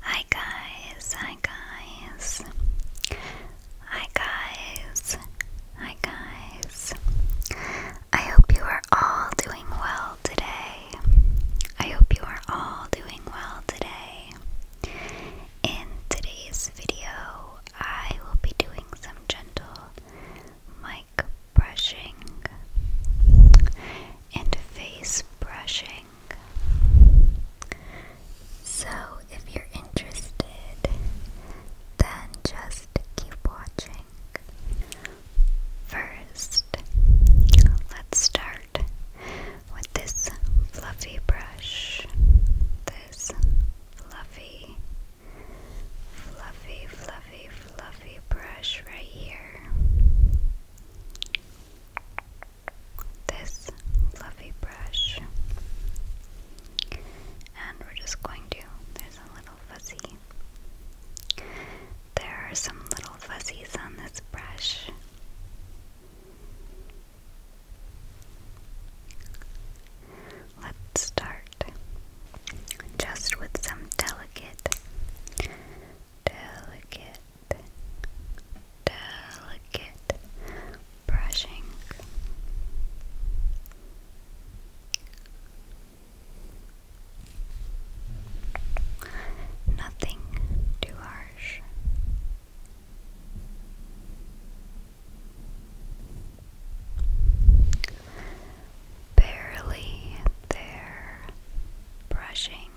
Hi guys, hi guys. Hi guys, hi guys. I hope you are all doing well today. I hope you are all doing well today. In today's video, I will be doing some gentle mic brushing and face brushing. So, if you're interested, then just keep watching. First, let's start with this fluffy brush. This fluffy, fluffy, fluffy, fluffy brush right here this fluffy brush and we're just going to there's a little fuzzy there are some little fuzzies on this brush let's start just with some delicate delicate delicate brushing. Nothing too harsh. Barely there, brushing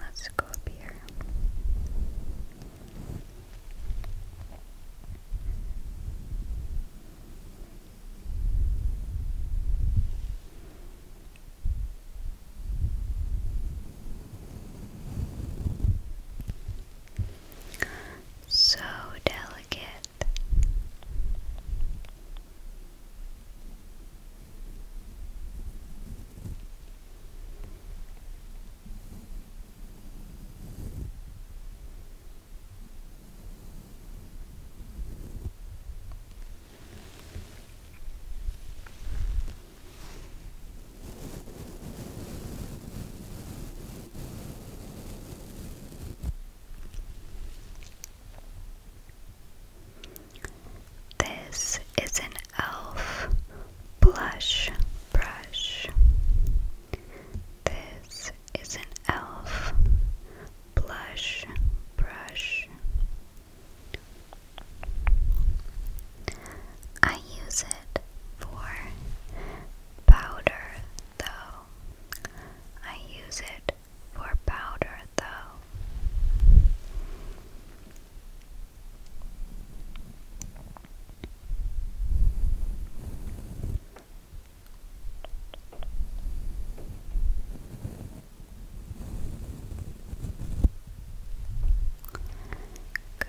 Let's go up here so delicate. This is an elf blush brush. This is an elf blush brush. I use it for powder though. I use it for powder though. Good.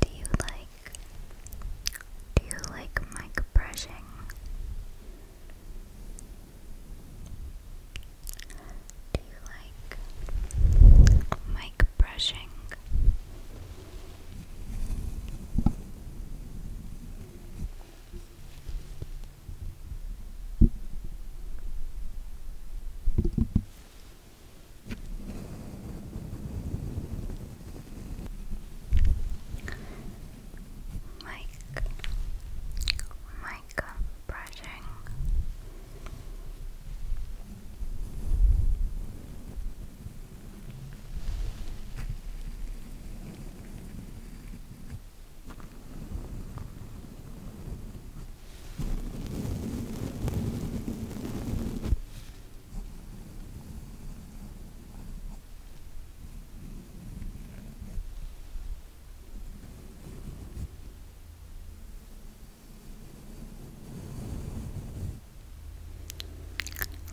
Do you like do you like mic brushing? Do you like mic brushing? Mike, Mike, brushing.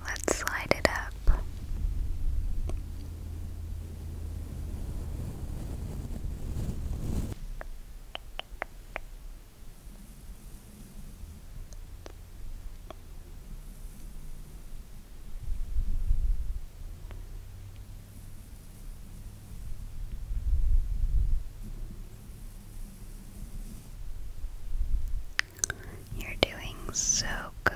Let's slide it up. You're doing so good.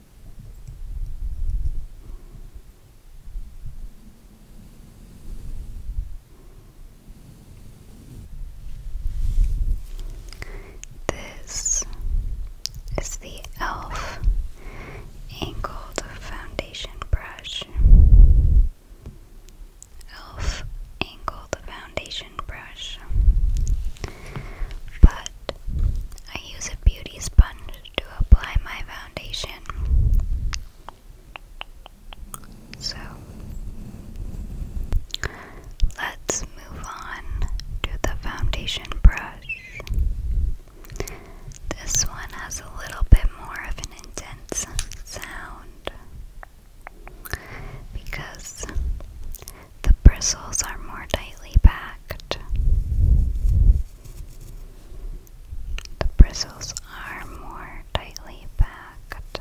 This is the e.l.f. Angled Foundation Brush. Elf angled foundation brush, but I use a beauty sponge to apply my foundation. So let's move on to the foundation brush. This one has a little bit more of an intense sound because the bristles are more tightly packed. The bristles are more tightly packed.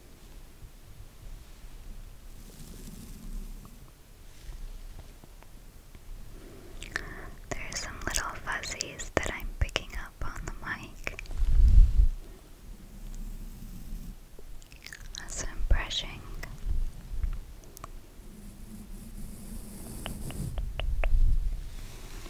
There's some little fuzzies that I'm picking up on the mic That's I'm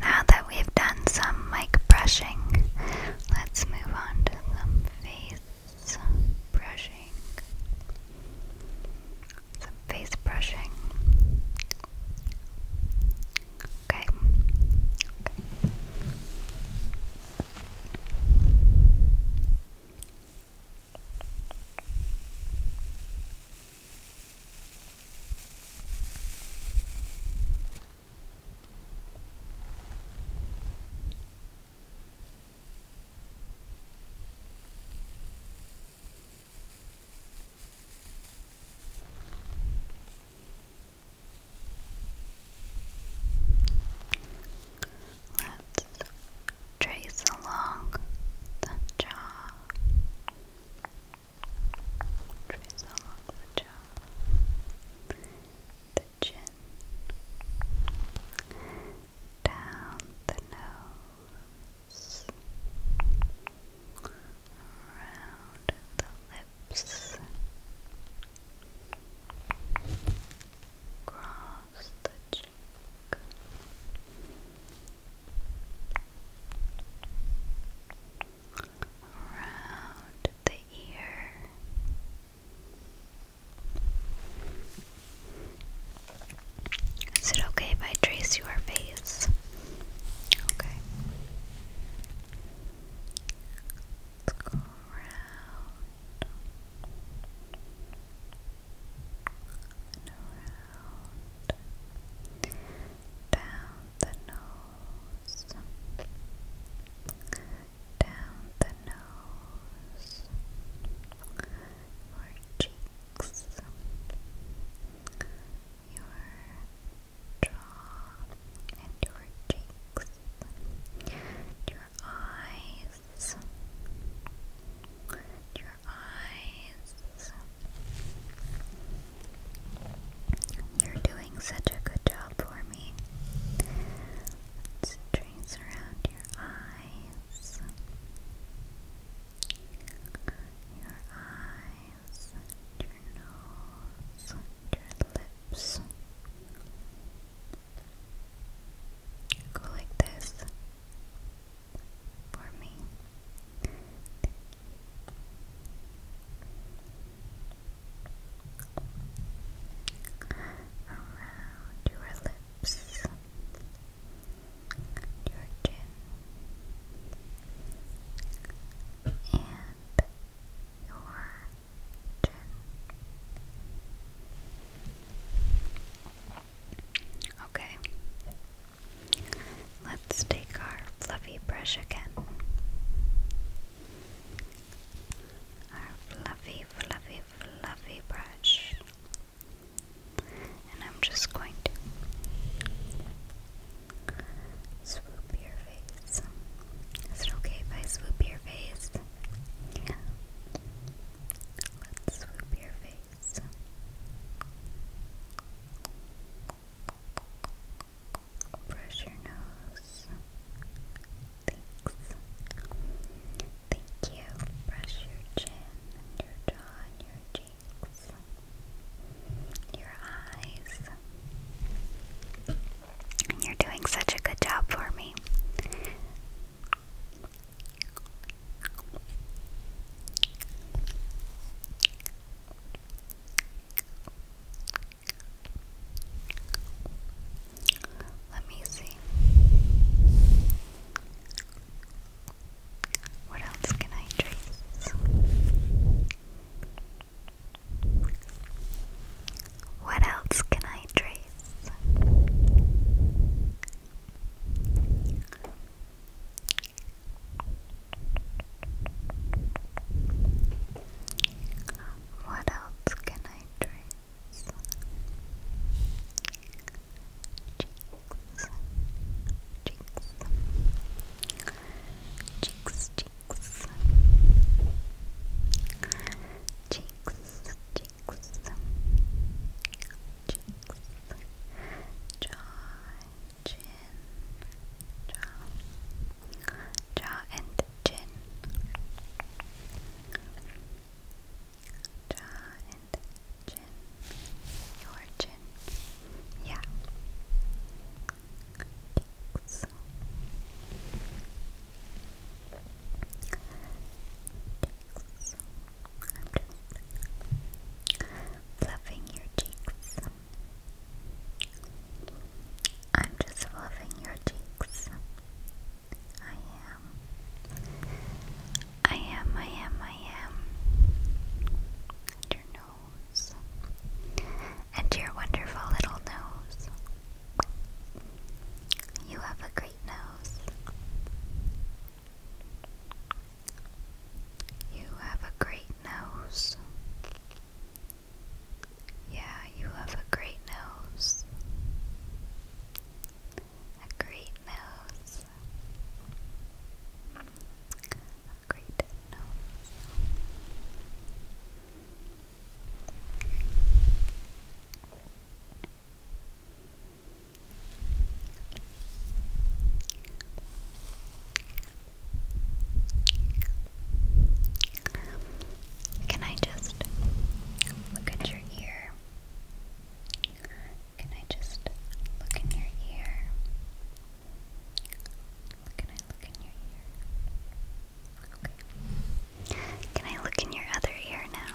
now that we've done some mic brushing, let's move on to some face brushing. Some face brushing. Okay. Let's trace along the jaw trace along the jaw, the chin, down the nose, around the lips, across the cheek around the ear. Is it okay if I trace your face? Okay. Let's go around. And around down the nose, down the nose, your cheeks, your jaw, and your cheeks, your eyes, your eyes. You're doing such a good job for me. Let's around your eyes. Your eyes, your nose, your lips. Go like this for me around your lips, your chin, and your chin. Okay. Let's take our fluffy brush again. Our fluffy, fluffy, fluffy brush. And I'm just going to swoop your face. Is it okay if I swoop your face? Yeah. Let's swoop your face. Brush your nose. Thanks. Thank you. Brush your chin and your jaw your cheeks. Your eyes. You're doing such a good job for me. Let me see. What else can I trace? What else can I trace? What else can I trace? Cheeks, cheeks, cheeks, cheeks, cheeks, cheeks, cheeks, jaw, chin, jaw, jaw and chin, jaw and chin, your chin, yeah. fluffing your cheeks. I'm just loving your cheeks. I am. I am, I am, I am. And your nose. And your wonderful little nose. You have a great nose. You have a great nose. Yeah, you have a great nose. A great nose. A great nose. Can I just look at your ear? Can I just look in your ear? Can I look in your ear? Can I look in your other ear now?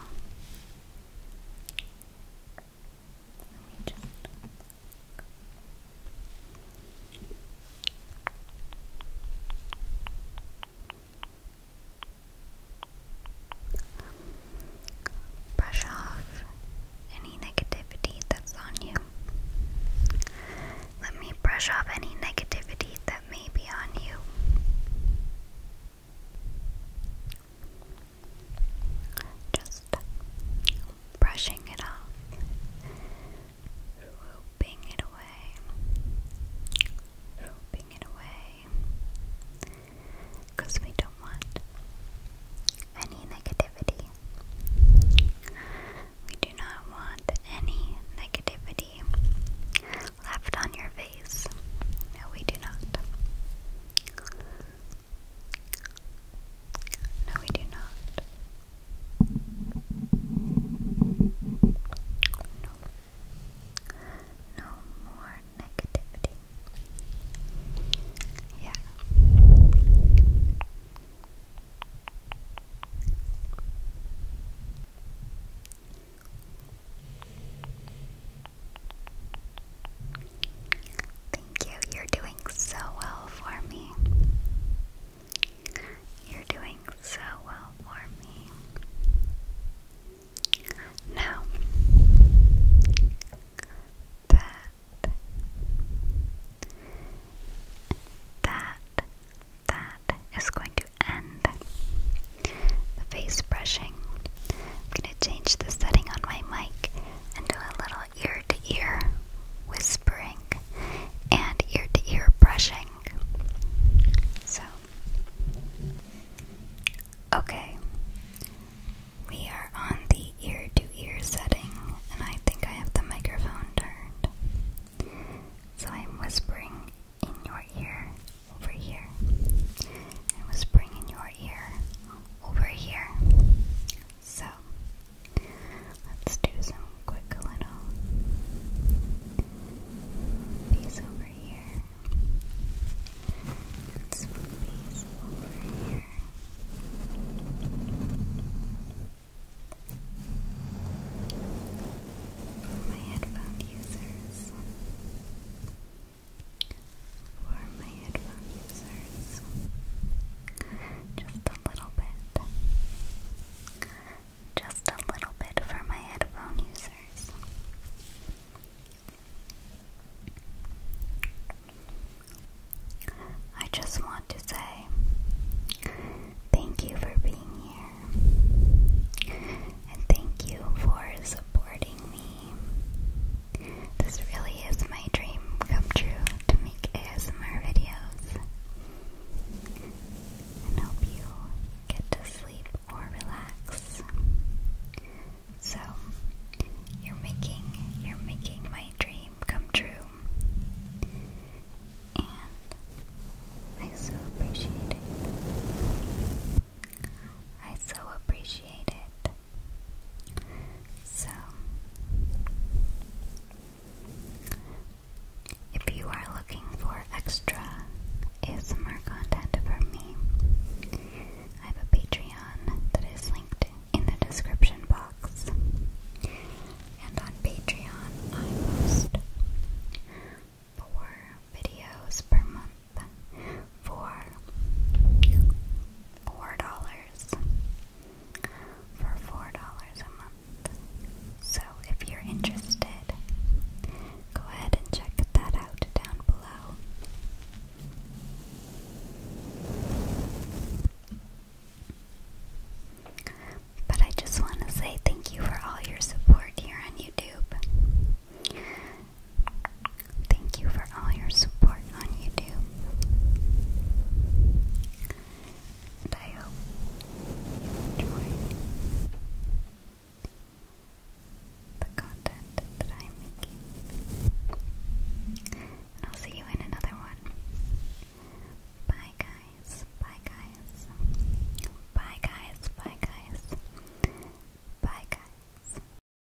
Brush off any negativity that's on you. Let me brush off any negativity that may be on you. Just brushing it off, swooping it away, swooping it away, because we don't want any negativity. We do not want any negativity left on your face. No, we do not. No, we do not. No. No more negativity. Yeah. Thank you. You're doing so well for me. You're doing so well for me. Now that that that is going to end the face brushing. I'm going to change the setting on my mic and do a little ear to ear whispering and ear to ear brushing. So, okay, we are on the ear to ear setting, and I think I have the microphone turned. So, I'm whispering in your ear over here, and whispering in your ear over here. So, let's do some quick little piece over here. And some piece over here. My headphone users for my headphone users. Just a little bit. Just a little bit for my headphone users. I just want to say thank you for being here and thank you for supporting me. This really is my dream come true to make ASMR videos. And hope you get to sleep or relax. So you're making you're making my dream come true. And I so appreciate it. I so appreciate it. So, if you are looking for extra ASMR content from me, I have a Patreon that is linked in the description box. And on Patreon, I post four videos per month for four dollars for four dollars a month. So if you're interested, go ahead and check that out down below. But I just want to say thank you for all your support here on YouTube. Thank you for all your support on YouTube. I hope you enjoy the content that I'm making. And I'll see you in another one. Bye, guys. Bye, guys. Bye, guys. Bye, guys. Bye, guys.